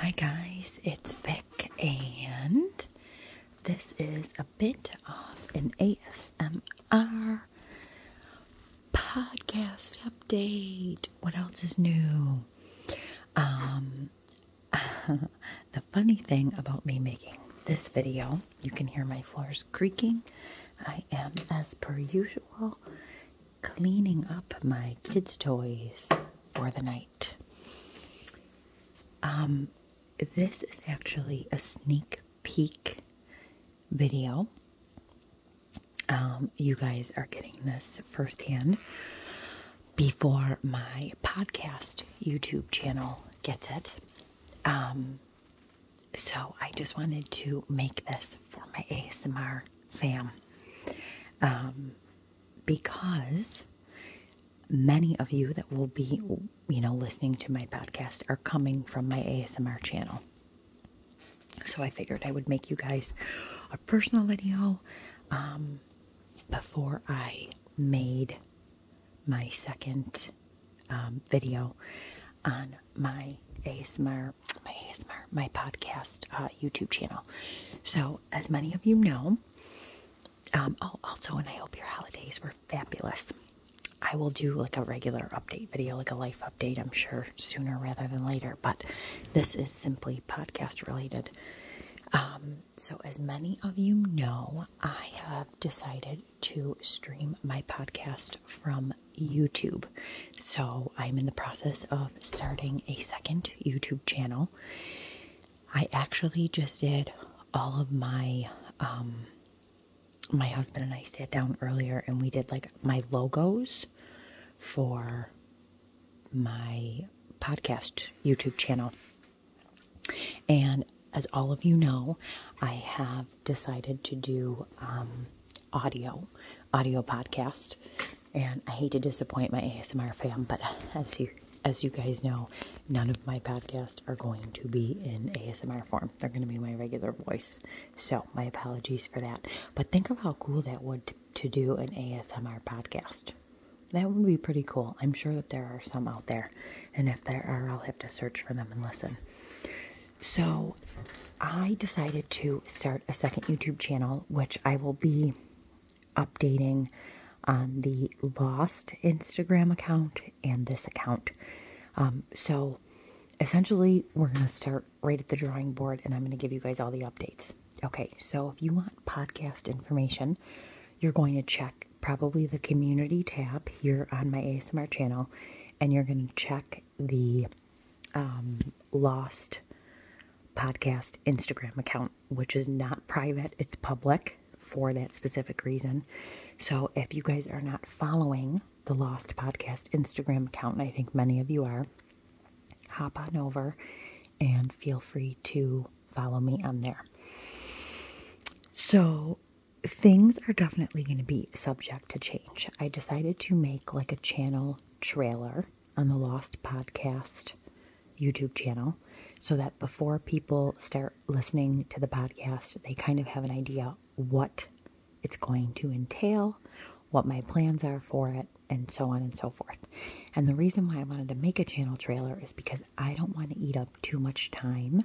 Hi guys, it's Vic, and this is a bit of an ASMR podcast update. What else is new? Um, the funny thing about me making this video, you can hear my floors creaking. I am, as per usual, cleaning up my kids' toys for the night. Um, this is actually a sneak peek video. Um, you guys are getting this firsthand before my podcast YouTube channel gets it. Um, so I just wanted to make this for my ASMR fam. Um, because many of you that will be, you know, listening to my podcast are coming from my ASMR channel. So I figured I would make you guys a personal video um, before I made my second um, video on my ASMR, my ASMR, my podcast uh, YouTube channel. So, as many of you know, um, also, and I hope your holidays were fabulous. I will do like a regular update video, like a life update, I'm sure, sooner rather than later. But this is simply podcast related. Um, so, as many of you know, I have decided to stream my podcast from YouTube. So, I'm in the process of starting a second YouTube channel. I actually just did all of my um my husband and I sat down earlier and we did like my logos for my podcast YouTube channel. And as all of you know, I have decided to do um, audio, audio podcast. And I hate to disappoint my ASMR fam, but as you as you guys know, none of my podcasts are going to be in ASMR form. They're going to be my regular voice. So, my apologies for that. But think of how cool that would to, to do an ASMR podcast. That would be pretty cool. I'm sure that there are some out there. And if there are, I'll have to search for them and listen. So, I decided to start a second YouTube channel, which I will be updating on the lost Instagram account and this account. Um, so essentially, we're going to start right at the drawing board and I'm going to give you guys all the updates. Okay, so if you want podcast information, you're going to check probably the community tab here on my ASMR channel and you're going to check the um, lost podcast Instagram account, which is not private, it's public for that specific reason. So if you guys are not following the Lost Podcast Instagram account, I think many of you are, hop on over and feel free to follow me on there. So things are definitely going to be subject to change. I decided to make like a channel trailer on the Lost Podcast YouTube channel so that before people start listening to the podcast, they kind of have an idea what it's going to entail, what my plans are for it, and so on and so forth. And the reason why I wanted to make a channel trailer is because I don't want to eat up too much time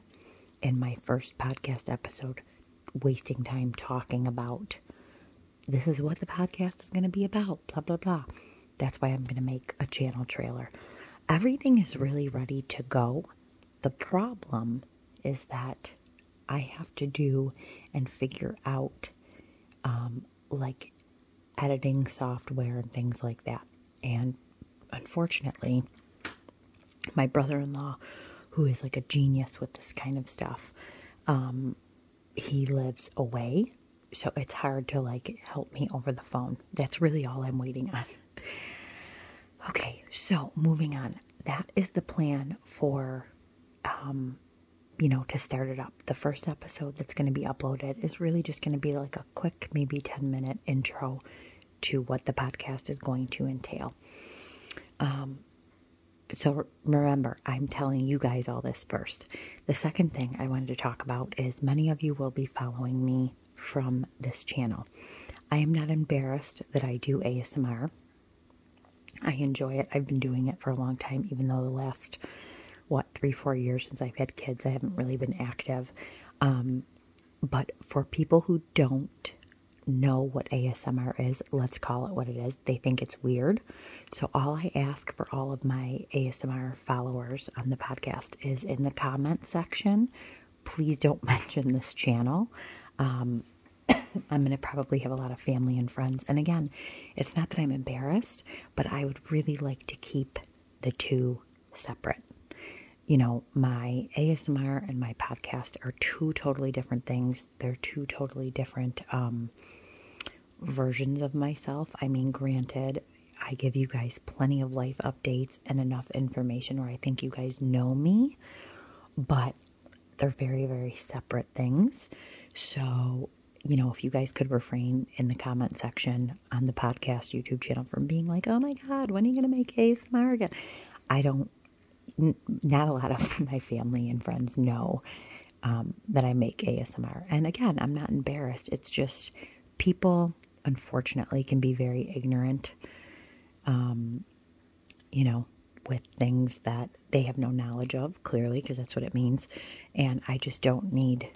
in my first podcast episode, wasting time talking about this is what the podcast is going to be about, blah, blah, blah. That's why I'm going to make a channel trailer. Everything is really ready to go. The problem is that I have to do and figure out um, like editing software and things like that. And unfortunately, my brother in law, who is like a genius with this kind of stuff, um, he lives away, so it's hard to like help me over the phone. That's really all I'm waiting on. okay, so moving on. That is the plan for, um, you know, to start it up. The first episode that's going to be uploaded is really just going to be like a quick, maybe 10 minute intro to what the podcast is going to entail. Um, so remember, I'm telling you guys all this first. The second thing I wanted to talk about is many of you will be following me from this channel. I am not embarrassed that I do ASMR. I enjoy it. I've been doing it for a long time, even though the last, what, three, four years since I've had kids, I haven't really been active. Um, but for people who don't, know what ASMR is, let's call it what it is. They think it's weird. So, all I ask for all of my ASMR followers on the podcast is in the comment section, please don't mention this channel. Um, I'm going to probably have a lot of family and friends. And again, it's not that I'm embarrassed, but I would really like to keep the two separate. You know, my ASMR and my podcast are two totally different things they're two totally different um, versions of myself. I mean, granted, I give you guys plenty of life updates and enough information where I think you guys know me, but they're very, very separate things. So, you know, if you guys could refrain in the comment section on the podcast YouTube channel from being like, oh my God, when are you going to make ASMR again? I don't not a lot of my family and friends know um, that I make ASMR. And again, I'm not embarrassed. It's just people, unfortunately, can be very ignorant, um, you know, with things that they have no knowledge of, clearly, because that's what it means. And I just don't need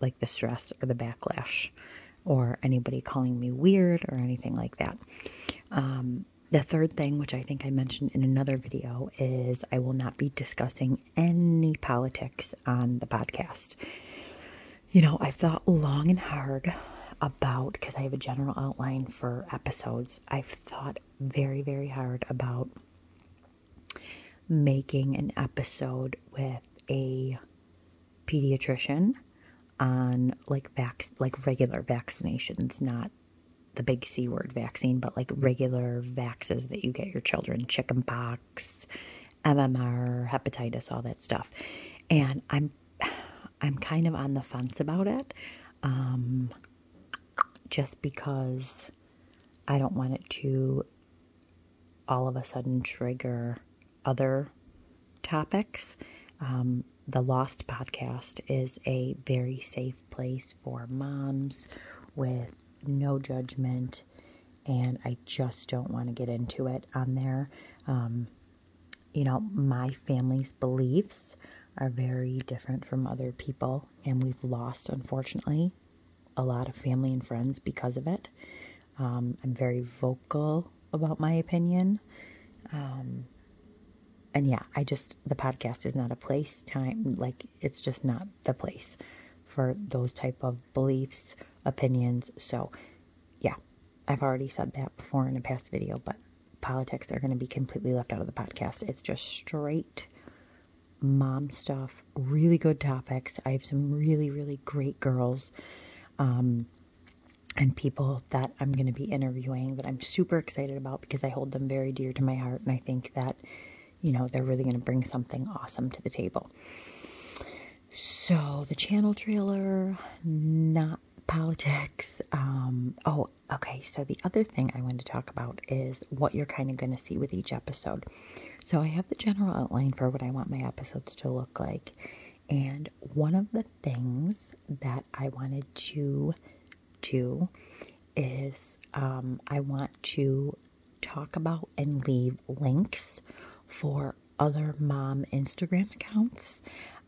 like the stress or the backlash or anybody calling me weird or anything like that. Um, the third thing, which I think I mentioned in another video, is I will not be discussing any politics on the podcast. You know, i thought long and hard about, because I have a general outline for episodes, I've thought very, very hard about making an episode with a pediatrician on like vac like regular vaccinations, not the big C word vaccine, but like regular vaxes that you get your children, chickenpox, MMR, hepatitis, all that stuff. And I'm I'm kind of on the fence about it. Um, just because I don't want it to all of a sudden trigger other topics. Um, the Lost podcast is a very safe place for moms with no judgment. And I just don't want to get into it on there. Um, you know, my family's beliefs are very different from other people, and we've lost, unfortunately, a lot of family and friends because of it. Um, I'm very vocal about my opinion. Um, and yeah, I just, the podcast is not a place, time, like, it's just not the place for those type of beliefs, opinions. So, yeah, I've already said that before in a past video, but politics are going to be completely left out of the podcast. It's just straight mom stuff, really good topics. I have some really, really great girls. Um, and people that I'm going to be interviewing that I'm super excited about because I hold them very dear to my heart and I think that you know they're really going to bring something awesome to the table. So the channel trailer, not politics. Um, oh, okay. So the other thing I want to talk about is what you're kind of going to see with each episode. So I have the general outline for what I want my episodes to look like, and one of the things that I wanted to do is um, I want to talk about and leave links for other mom Instagram accounts,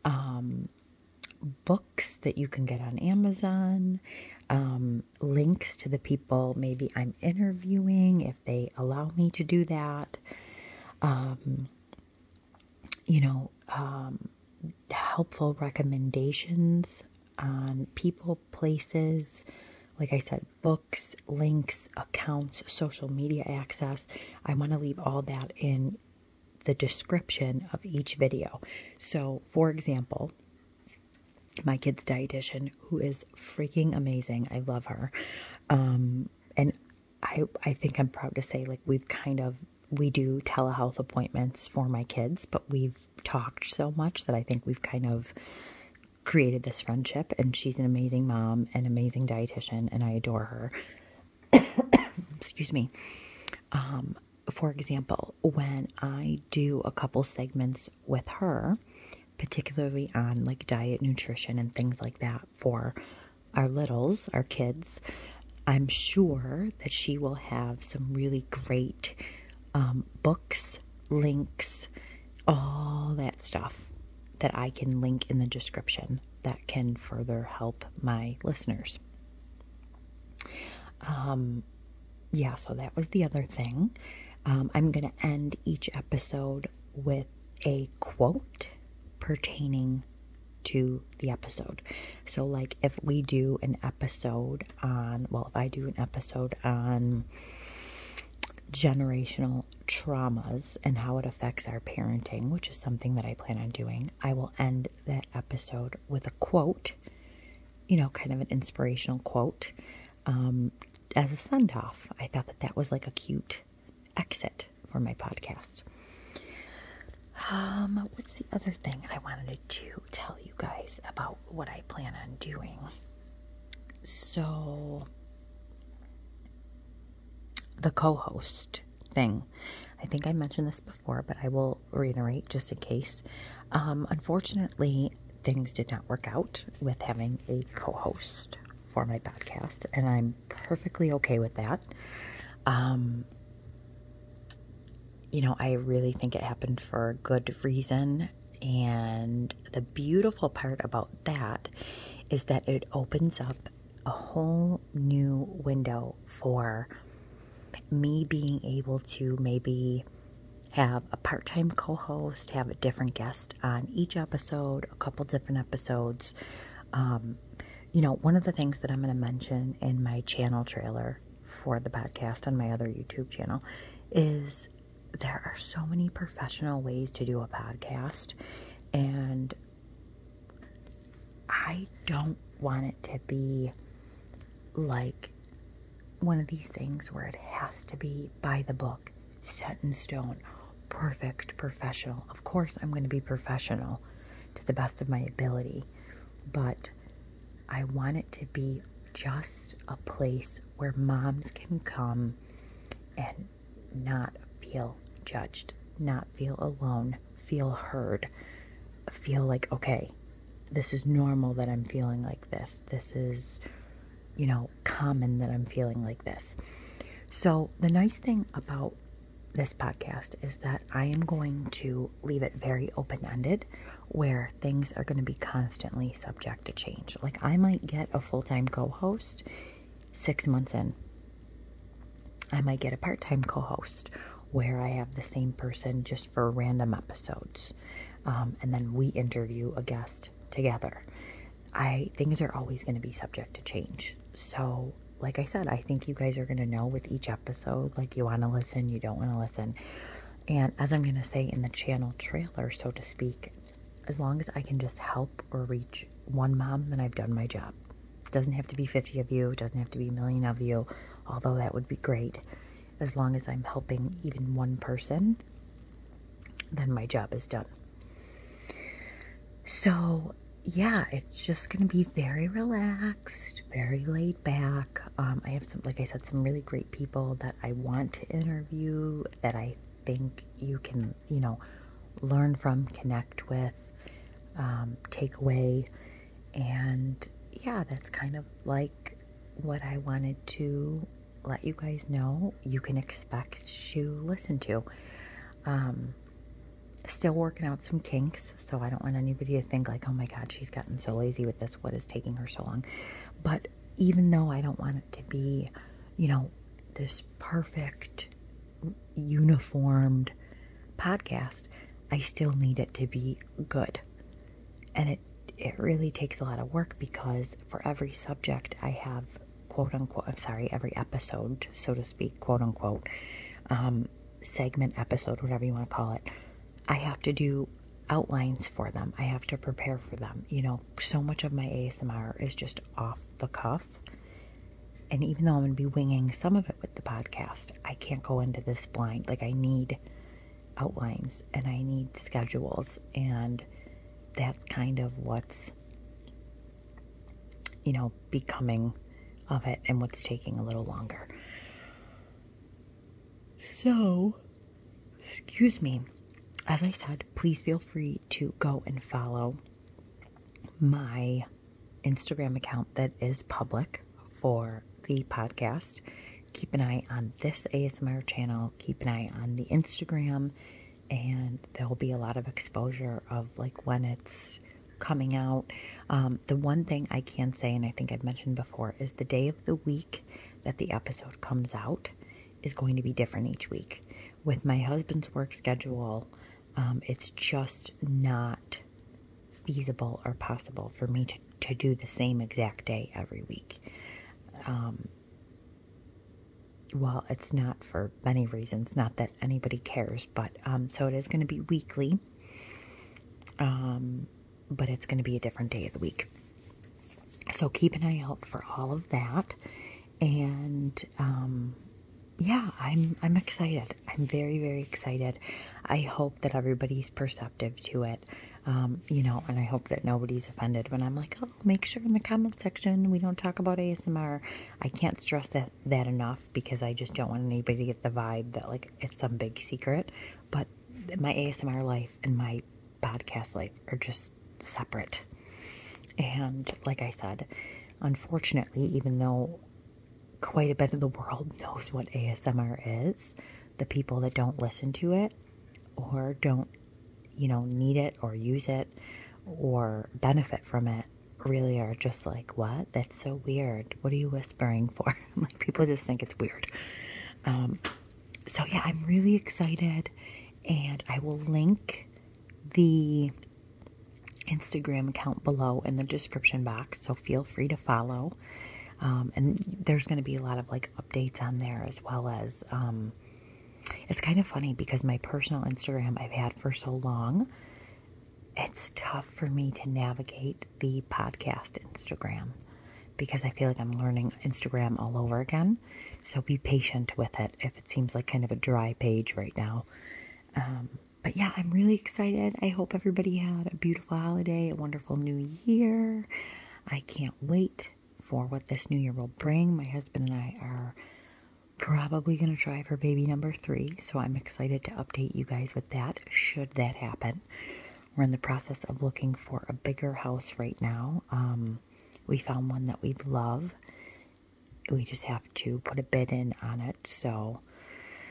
um, books that you can get on Amazon, um, links to the people maybe I'm interviewing if they allow me to do that you know, um, helpful recommendations on people, places, like I said, books, links, accounts, social media access. I want to leave all that in the description of each video. So, for example, my kid's dietitian, who is freaking amazing, I love her. Um, and I I think I'm proud to say like we've kind of we do telehealth appointments for my kids, but we've talked so much that I think we've kind of created this friendship and she's an amazing mom, an amazing dietitian, and I adore her. Excuse me. Um, for example, when I do a couple segments with her, particularly on like diet, nutrition, and things like that for our littles, our kids, I'm sure that she will have some really great um, books, links, all that stuff that I can link in the description that can further help my listeners. Um, yeah, so that was the other thing. Um, I'm going to end each episode with a quote pertaining to the episode. So, like, if we do an episode on, well, if I do an episode on generational traumas and how it affects our parenting, which is something that I plan on doing, I will end the episode with a quote, you know, kind of an inspirational quote um, as a send off. I thought that that was like a cute exit for my podcast. Um, what's the other thing I wanted to tell you guys about what I plan on doing? So, the co host thing. I think I mentioned this before, but I will reiterate just in case. Um, unfortunately, things did not work out with having a co host for my podcast, and I'm perfectly okay with that. Um, you know, I really think it happened for a good reason. And the beautiful part about that is that it opens up a whole new window for me being able to maybe have a part time co host, have a different guest on each episode, a couple different episodes. Um, you know, one of the things that I'm going to mention in my channel trailer for the podcast on my other YouTube channel is there are so many professional ways to do a podcast, and I don't want it to be like one of these things where it has to be by the book set in stone, perfect professional. Of course, I'm going to be professional to the best of my ability, but I want it to be just a place where moms can come and not feel judged, not feel alone, feel heard, feel like, okay, this is normal that I'm feeling like this. This is, you know, common that I'm feeling like this. So, the nice thing about this podcast is that I am going to leave it very open ended where things are going to be constantly subject to change. Like, I might get a full time co host six months in, I might get a part time co host where I have the same person just for random episodes. Um, and then we interview a guest together. I things are always going to be subject to change. So, like I said, I think you guys are going to know with each episode like you want to listen, you don't want to listen. And as I'm going to say in the channel trailer, so to speak, as long as I can just help or reach one mom, then I've done my job. It doesn't have to be 50 of you, it doesn't have to be a million of you, although that would be great. As long as I'm helping even one person, then my job is done. So, yeah, it's just going to be very relaxed, very laid back. Um, I have some, like I said, some really great people that I want to interview that I think you can, you know, learn from, connect with, um, take away. And yeah, that's kind of like what I wanted to let you guys know you can expect to listen to. Um, still working out some kinks, so I don't want anybody to think like, oh my God, she's gotten so lazy with this. What is taking her so long? But even though I don't want it to be, you know, this perfect, uniformed podcast, I still need it to be good. And it it really takes a lot of work because for every subject I have quote unquote, I'm sorry, every episode, so to speak, quote unquote, um, segment, episode, whatever you want to call it, I have to do outlines for them. I have to prepare for them. You know, so much of my ASMR is just off the cuff. And even though I'm going to be winging some of it with the podcast, I can't go into this blind. Like, I need outlines and I need schedules. And that's kind of what's you know, becoming of it and what's taking a little longer. So, excuse me, as I said, please feel free to go and follow my Instagram account that is public for the podcast. Keep an eye on this ASMR channel, keep an eye on the Instagram, and there'll be a lot of exposure of like when it's coming out. Um, the one thing I can say, and I think I've mentioned before, is the day of the week that the episode comes out is going to be different each week. With my husband's work schedule, um, it's just not feasible or possible for me to, to do the same exact day every week. Um, well, it's not for many reasons, not that anybody cares, but um, so it is going to be weekly, um, but it's going to be a different day of the week. So keep an eye out for all of that. And um, yeah, I'm, I'm excited. I'm very, very excited. I hope that everybody's perceptive to it. you know, and I hope that nobody's offended when I'm like, oh make sure in the comment section we don't talk about ASMR. I can't stress that, that enough because I just don't want anybody to get the vibe that like it's some big secret. But my ASMR life and my podcast life are just separate. And like I said, unfortunately, even though quite a bit of the world knows what ASMR is, the people that don't listen to it or don't you know, need it or use it or benefit from it really are just like, what? That's so weird. What are you whispering for? like, people just think it's weird. Um, so, yeah, I'm really excited. And I will link the Instagram account below in the description box. So, feel free to follow. Um, and there's going to be a lot of like updates on there as well as um, it's kind of funny because my personal Instagram I've had for so long, it's tough for me to navigate the podcast Instagram because I feel like I'm learning Instagram all over again. So be patient with it if it seems like kind of a dry page right now. Um, but yeah, I'm really excited. I hope everybody had a beautiful holiday, a wonderful new year. I can't wait for what this new year will bring. My husband and I are probably going to try for baby number three, so I'm excited to update you guys with that should that happen. We're in the process of looking for a bigger house right now. Um, we found one that we love. We just have to put a bid in on it. So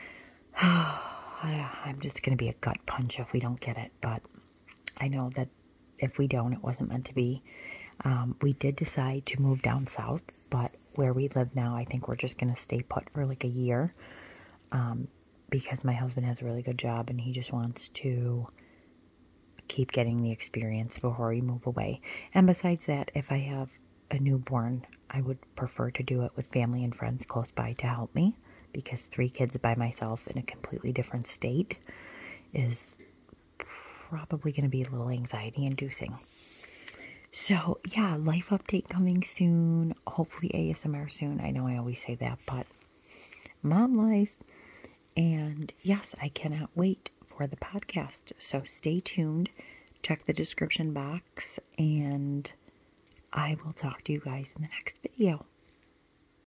I'm just going to be a gut punch if we don't get it. But I know that if we don't, it wasn't meant to be. Um, we did decide to move down south, but where we live now, I think we're just going to stay put for like a year um, because my husband has a really good job and he just wants to keep getting the experience before we move away. And besides that, if I have a newborn, I would prefer to do it with family and friends close by to help me because three kids by myself in a completely different state is probably going to be a little anxiety inducing. So, yeah, life update coming soon. Hopefully, ASMR soon. I know I always say that, but mom life. And yes, I cannot wait for the podcast. So, stay tuned. Check the description box, and I will talk to you guys in the next video.